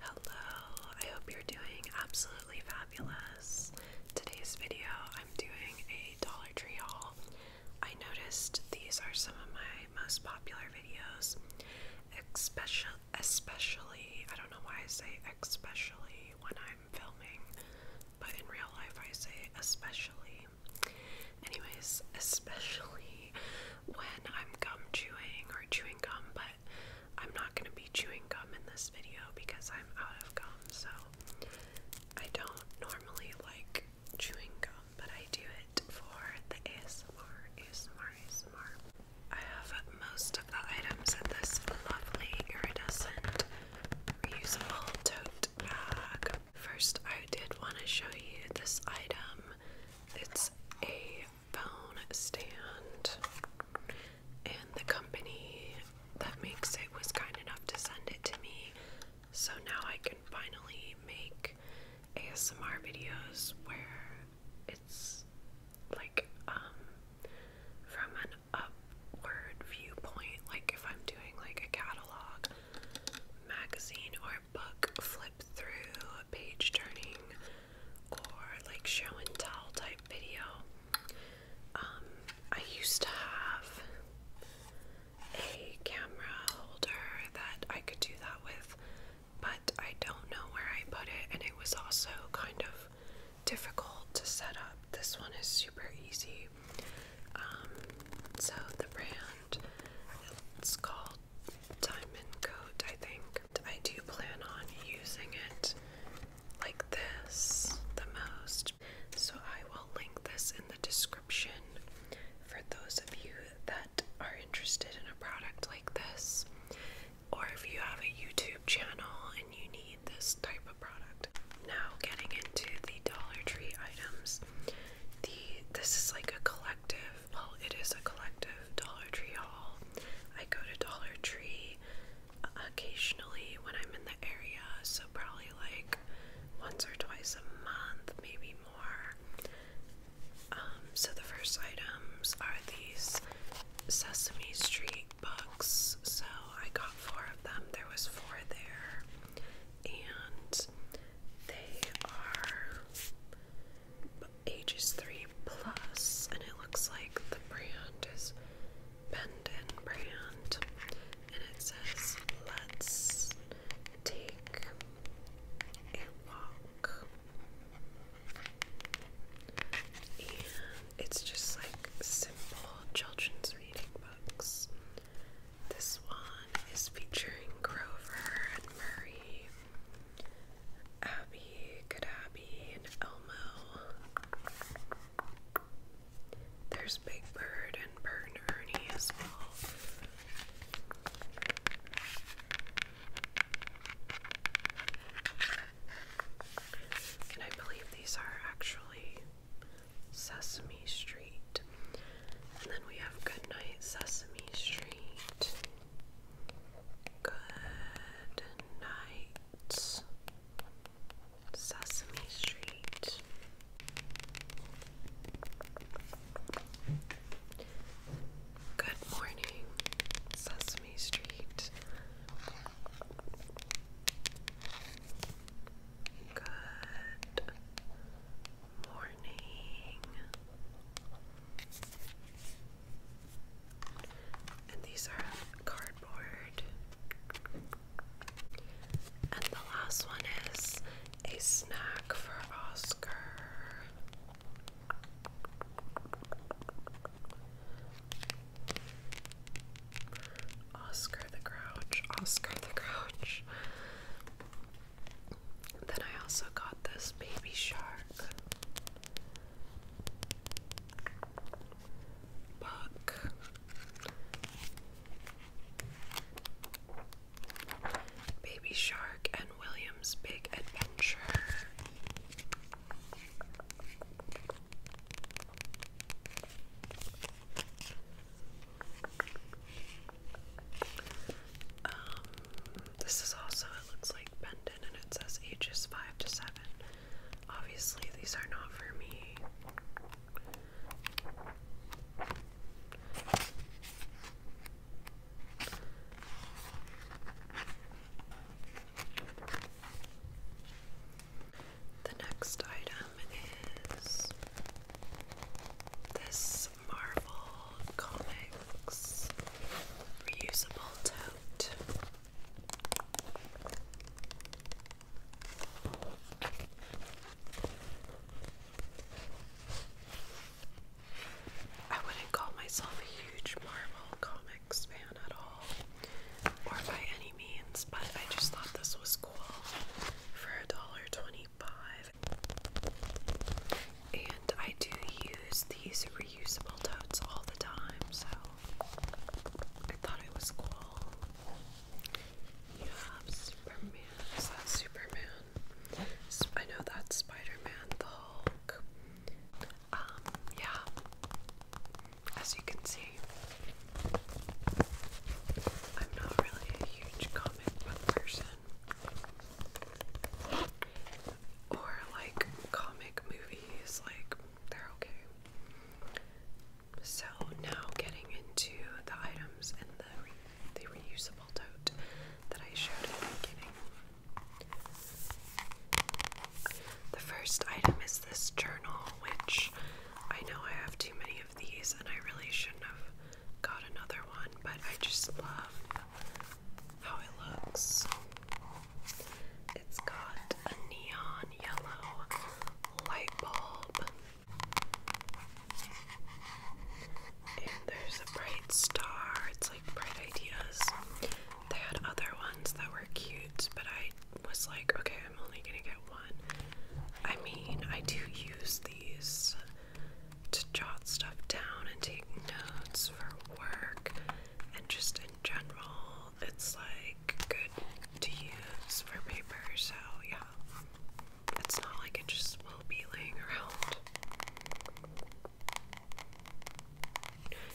Hello, I hope you're doing absolutely fabulous. Today's video, I'm doing a Dollar Tree haul. I noticed these are some of my most popular videos, especially, especially I don't know why I say especially when I'm filming, but in real life I say especially. Anyways, especially when I'm gum chewing or chewing gum, but I'm not going to be chewing gum in this video because I'm out of gum, so I don't normally like chewing gum, but I do it for the ASMR, ASMR, ASMR. I have most of the items in this lovely iridescent reusable tote First, I did want to show you this item. It's a phone stand, and the company that makes it was kind enough to send it to me. So now I can finally make ASMR videos where it's like um from an upward viewpoint, like if I'm doing like a catalog magazine or book flip through, page turning, or like show and tell type video. Um, I used to have a camera holder that I could do that with, but I don't know where I put it, and it was also kind of difficult to set up. This one is super easy. Um, so the brand it's called Diamond Coat, I think. I do plan on using it like this the most. So I will link this in the description for those of you that are interested in a product like this. Or if you have a YouTube channel and you need this type of product. Now, getting into the Dollar Tree items, the this is like a collective. Well, it is a collective Dollar Tree haul. I go to Dollar Tree occasionally when I'm in the area, so probably like once or twice a month, maybe more. Um, so the first items are these Sesame Street books. So I got four of them. There was four there and they are ages three plus, and it looks like the brand is Bendon brand, and it says "Let's take a walk," and it's just like simple children's reading books. This one is featuring Grover and Murray, Abby, Good Abby, and Elmo. There's Big Bird and Bert and Ernie as well. And I believe these are actually Sesame Street. And then we have Goodnight Sesame Street. Good night Sesame Street. Good morning Sesame Street. Good morning. And these are cardboard. And the last one is a snack for Oscar. Oscar the Grouch, Oscar the Grouch. Then I also got this baby shark book. Baby Shark and William's Big Adventure. Um, this is also, it looks like Bendon and it says ages 5 to 7. Obviously, these are not for me. The next item is this Marvel Comics reusable tote. I wouldn't call myself a huge Marvel Comics fan at all, or by means, but I just thought this was cool for a dollar twenty-five. And I do use these reusable totes all the time, so I thought it was cool. You have Superman. Is that Superman? I know that's Spider-Man, the Hulk. Um, yeah. As you can see, I'm not really a huge comic book person. Or like comic movies, like they're okay. So now getting into the items in the the reusable tote that I showed at the beginning. The first item is this journal, which I know I have too many of these, and I really shouldn't have got another one, but I just love how it looks. It's got a neon yellow light bulb, and there's a bright star. It's like bright ideas. They had other ones that were cute, but I was like, okay, I'm only gonna get one. I mean, I do use these to jot stuff down and take notes for work and just in general, it's like good to use for paper, so yeah. It's not like it just will be laying around.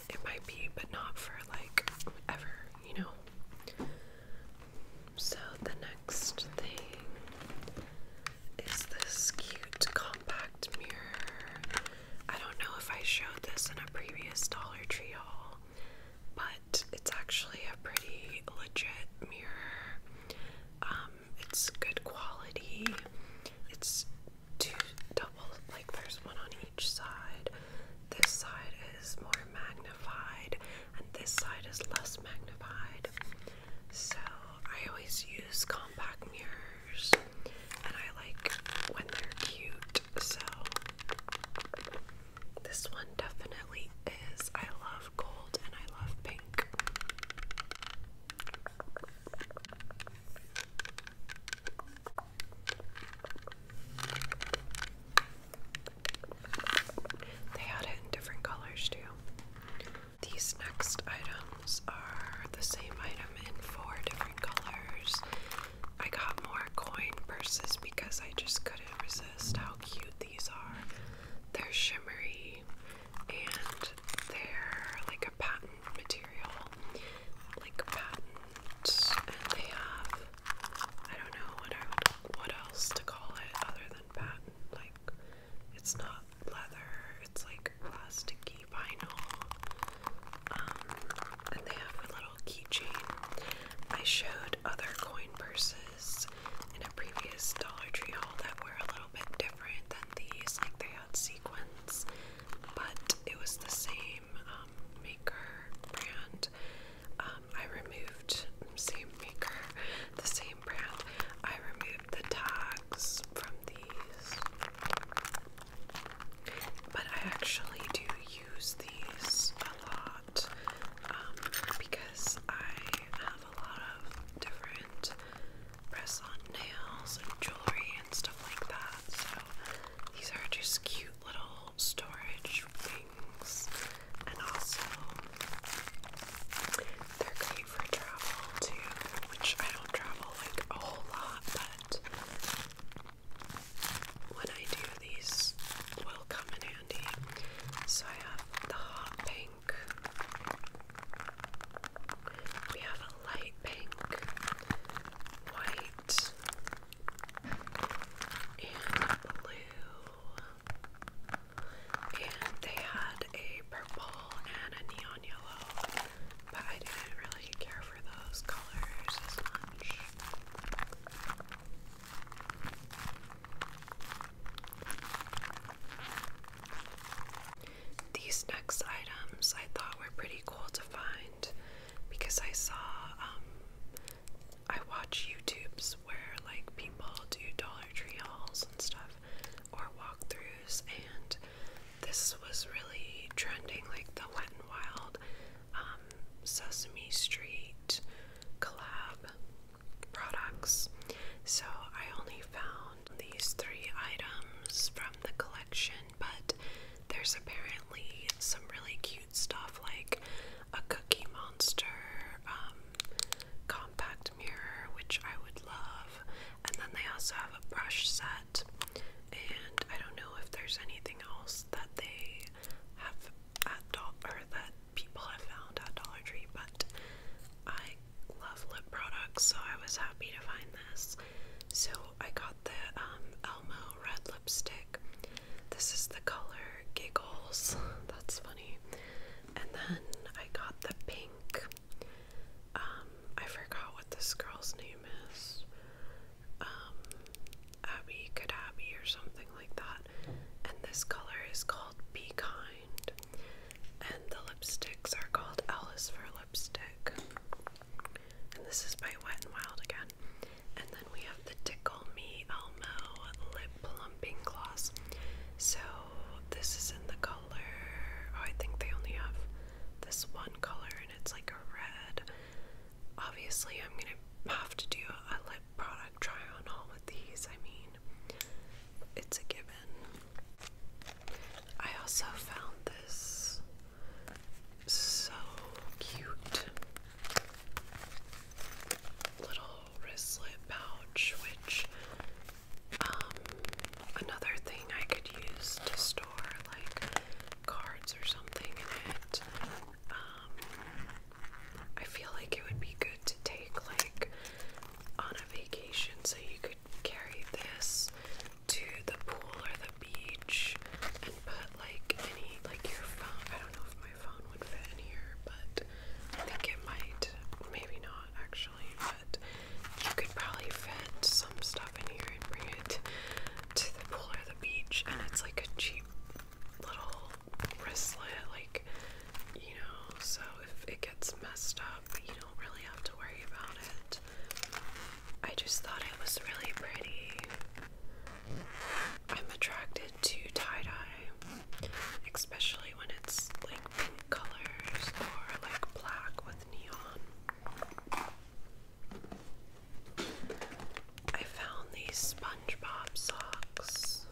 It might be, but not for like whatever you know? So the next thing is this cute compact mirror. I don't know if I showed this in a previous Dollar Tree haul, but it's actually a pretty legit mirror. Um, it's good quality. It's two double like there's one on each side this side is more magnified and this side is less magnified. So I always use compact mirrors and I like when they're cute. So this one definitely is. I love gold and I love pink. They had it in different colors too. These next items are the same item in four different colors. I got more coin purses because I just couldn't resist how cute these are. They're shimmery and they're like a patent material, like patent, and they have I don't know what what else to call it other than patent. Like it's not leather, it's like plasticky vinyl. Um, and they have a little keychain. I showed other coin purses in a previous Dollar Tree haul that were a little bit different than these. Like they had sequins, but it was the same same um, maker brand. Um, I removed same maker, the same brand. I removed the tags from these, but I actually do use these a lot um, because I have a lot of different press-on nails and jewelry stuff like that. So these are just cute little storage things, and also they're great for travel too, which I don't travel like a whole lot, but when I do, these will come in handy. So I have the hot pink. We have a light pink, white, and blue, and they had a purple and a neon yellow, but I didn't really care for those colors as much. These next items I thought were pretty cool to find because I saw um, I watch YouTubes where like people do Dollar Tree hauls and stuff or walkthroughs and this was really trending like the Wet n Wild um, Sesame Street collab products. So I only found these three items from the collection, but there's apparently some really cute stuff like a Cookie Monster um, compact mirror, which I would love. And then they also have a brush set. And I don't know if there's anything else that they have at Dollar or that people have found at Dollar Tree, but I love lip products, so I was happy to find this. So I got the um, Elmo red lipstick. This is the color Giggles. That's funny. And then I got the pink. Um, I forgot what this girl's name is. Um, Abby Kadabi or something like that. And this color is called Be Kind. And the lipsticks are called Alice for Lipstick. And this is by Wet n Wild again. And then we have the Tickle Me Elmo Lip Plumping Gloss. So this is in the color. Oh, I think they only have this one color, and it's like a red. Obviously, I'm gonna have to do a lip product try on all with these. I mean, it's a given. I also found this so cute. Little wristlet pouch, which um another thing I could use to store like cards or something in it. Um I feel like it would be good to take like on a vacation so you could carry this to the pool or the beach and put like any like your phone. I don't know if my phone would fit in here, but I think it might. Maybe not actually, but you could probably fit some stuff in here and bring it to the pool or the beach. And it's like a cheap little wristlet, like you know. So if it gets messed up, you don't really have to worry about it. I just thought it was really pretty. I'm attracted to tie dye, especially when it's like colors or like black with neon. I found these SpongeBob socks,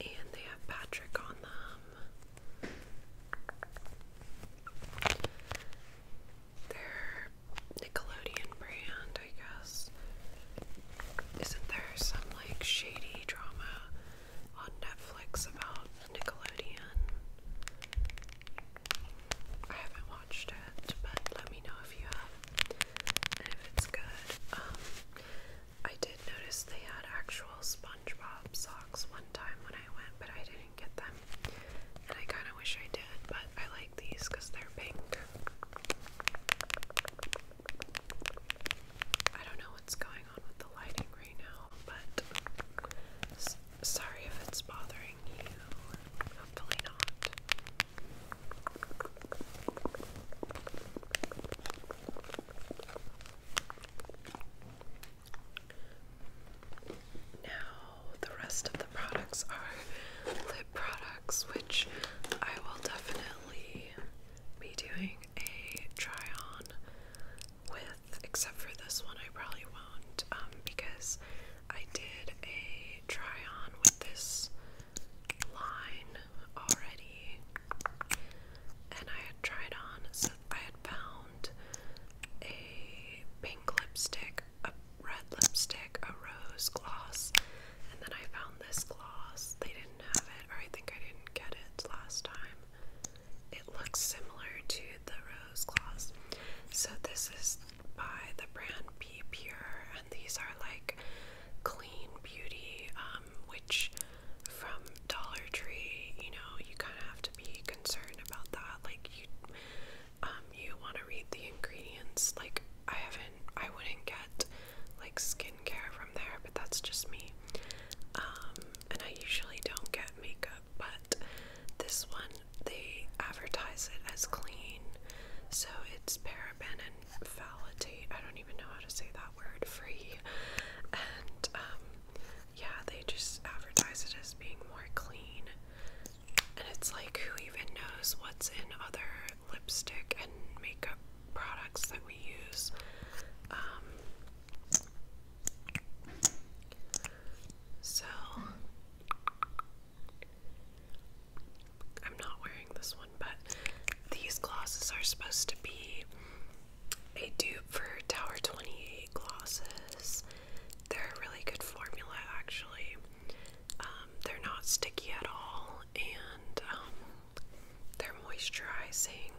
and they have Patrick on them. Their Nickelodeon brand, I guess. Isn't there some like shady drama on Netflix about Nickelodeon? I haven't watched it, but let me know if you have if it's good. Um, I did notice they had actual SpongeBob socks one time when I went, but I didn't get them. And I kind of wish I did, but I like these because they're pink. I don't know what's going on with the lighting right now, but sorry if it's bothering you. Hopefully not. Now, the rest of the products are lip products, which I will definitely be doing a try on with, except for this one, I probably won't um, because I did a try on with this line already and I tried on. I had found a pink lipstick, a red lipstick, a rose gloss, and then I found this gloss. They didn't have it, or I think I didn't get it last time. It looks similar to the rose gloss. So, this is by the brand Be Pure, and these are like clean beauty, um, which from Dollar Tree, you know, you kind of have to be concerned about that. Like you, um, you want to read the ingredients. Like I haven't, I wouldn't get like skincare from there, but that's just me. Um, and I usually don't get makeup, but this one they advertise it as clean, so it's paraben and phthalate. I don't even know how to say that word. Free and um, yeah, they just advertise it as being more clean. And it's like, who even knows what's in other lipstick and makeup products that we use? Um, so, I'm not wearing this one, but these glosses are supposed to be a dupe for Tower 28 glosses. They're a really good formula, actually. Um, they're not sticky at all, and um, they're moisturizing.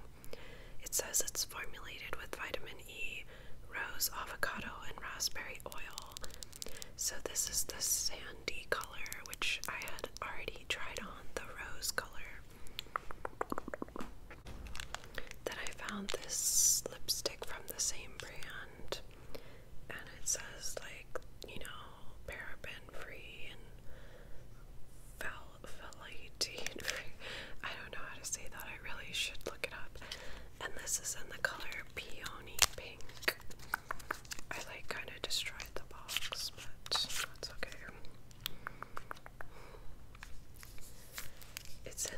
It says it's formulated with vitamin E, rose, avocado, and raspberry oil. So, this is the sandy color, which I had already tried on the rose color. Then I found this lipstick from the same brand, and it says, like, you know, paraben free and phthalate free. I don't know how to say that, I really should look it up. And this is in the color Peony Pink. I like kind of destroyed the box, but that's okay. It's in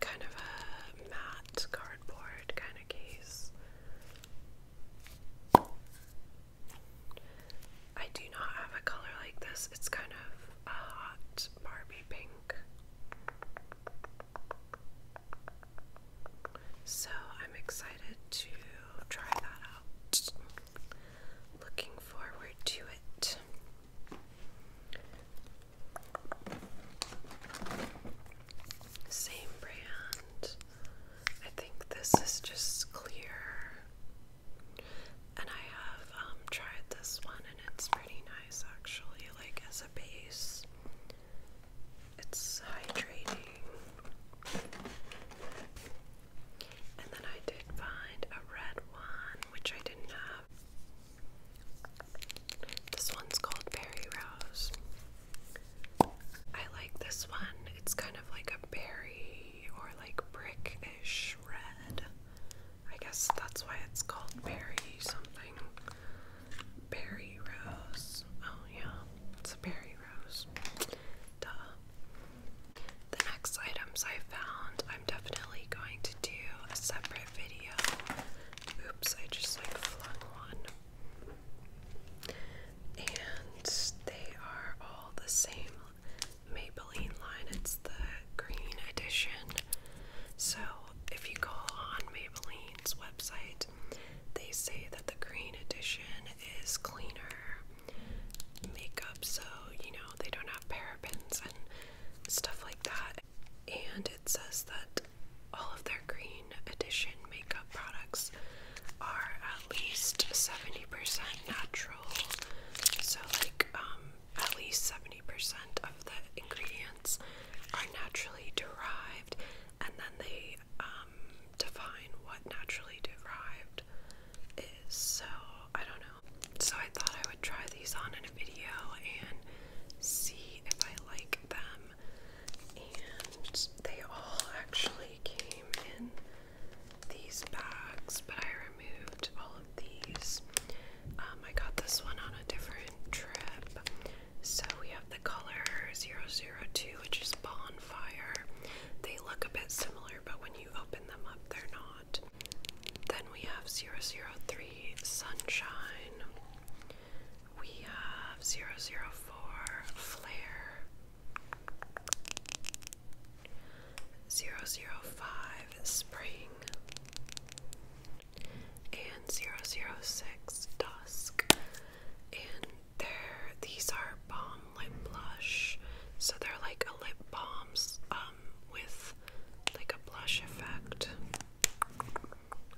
kind of a matte cardboard kind of case. I do not have a color like this. It's kind of a hot Barbie pink. So I'm excited to try that out looking forward to it. Same brand. I think this is just clear. And I have um, tried this one and it's pretty nice actually, like as a base. It's hydrating. And then I did find a red one, which I didn't This one's called Berry Rose. I like this one. It's kind of like a berry or like brickish red. I guess that's why it's called berry something. Berry Rose. Oh, yeah, it's a berry rose. Duh. The next items I found, I'm definitely going to do a separate video. Oops, I just like flung one. And they are all the same Maybelline line. It's the green edition. So if you go on Maybelline's website, they say that the green edition is cleaner makeup so you know they don't have parabens and stuff like that. And it says that all of their green edition makeup products are at least 70% natural. So like um, at least 70% of the ingredients are naturally derived and then they um, define what naturally derived so, I don't know. So, I thought I would try these on in a video and see if I like them. And they all actually came in these bags, but I removed all of these. Um, I got this one on a different trip. So we have the color 002, which is Bonfire. They look a bit similar but when you open them up, they're not. Then we have 003 Sunshine. We have 004 Flare. 005 Spring. And 006 Dusk and they're these are bomb lip blush, so they're like a lip balms um, with like a blush effect.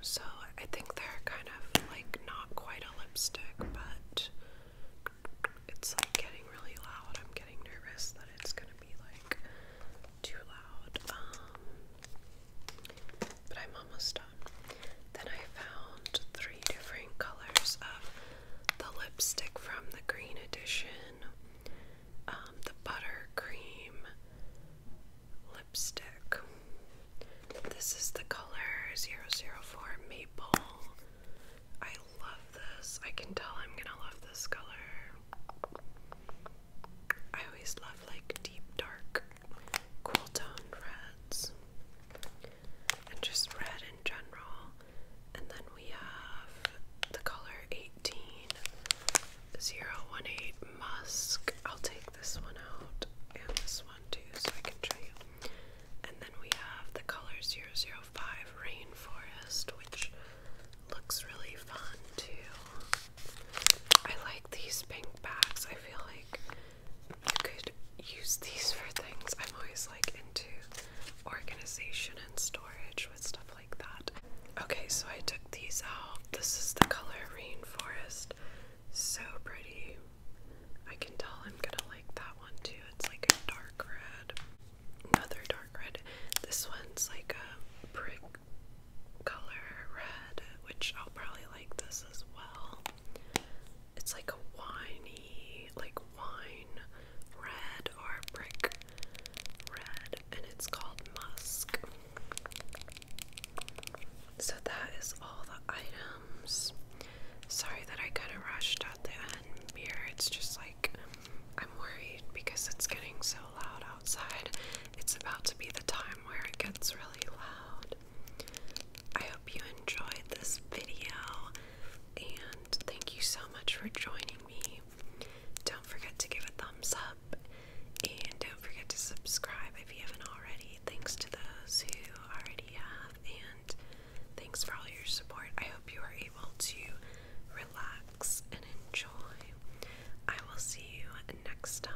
So I think they're kind of like not quite a lipstick, but it's like getting really loud. I'm getting nervous that it's gonna be like too loud. Um, but I'm almost done. Then I found three different colors of the lipstick from the green edition, um, the buttercream lipstick. This is the color 004 Maple. I love this. I can tell I'm gonna love this color. I always love like deep, dark, cool toned reds and just red in general. And then we have the color 18018 Musk. I'll take this one out and this one too so I can show you. And then we have the color 005 Rainforest, which looks really fun too. I like these pink bags. I feel like you could use these for things. I'm always like into organization and storage with stuff like that. Okay, so I took these out. This is the color Rainforest. So pretty. I can tell I'm gonna like that one too. It's like a dark red. Another dark red. This one's like a brick color red, which I'll probably like this as well it's like a winey, like wine red or brick red, and it's called Musk. So that is all the items. Sorry that I kind of rushed at the end here. It's just like I'm worried because it's getting so loud outside. It's about to be the time where it gets really loud. I hope you enjoyed this video and thank you so much for joining me. Don't forget to give a thumbs up and don't forget to subscribe if you haven't already. Thanks to those who already have and thanks for all your support. I hope you are able to relax and enjoy. I will see you next time.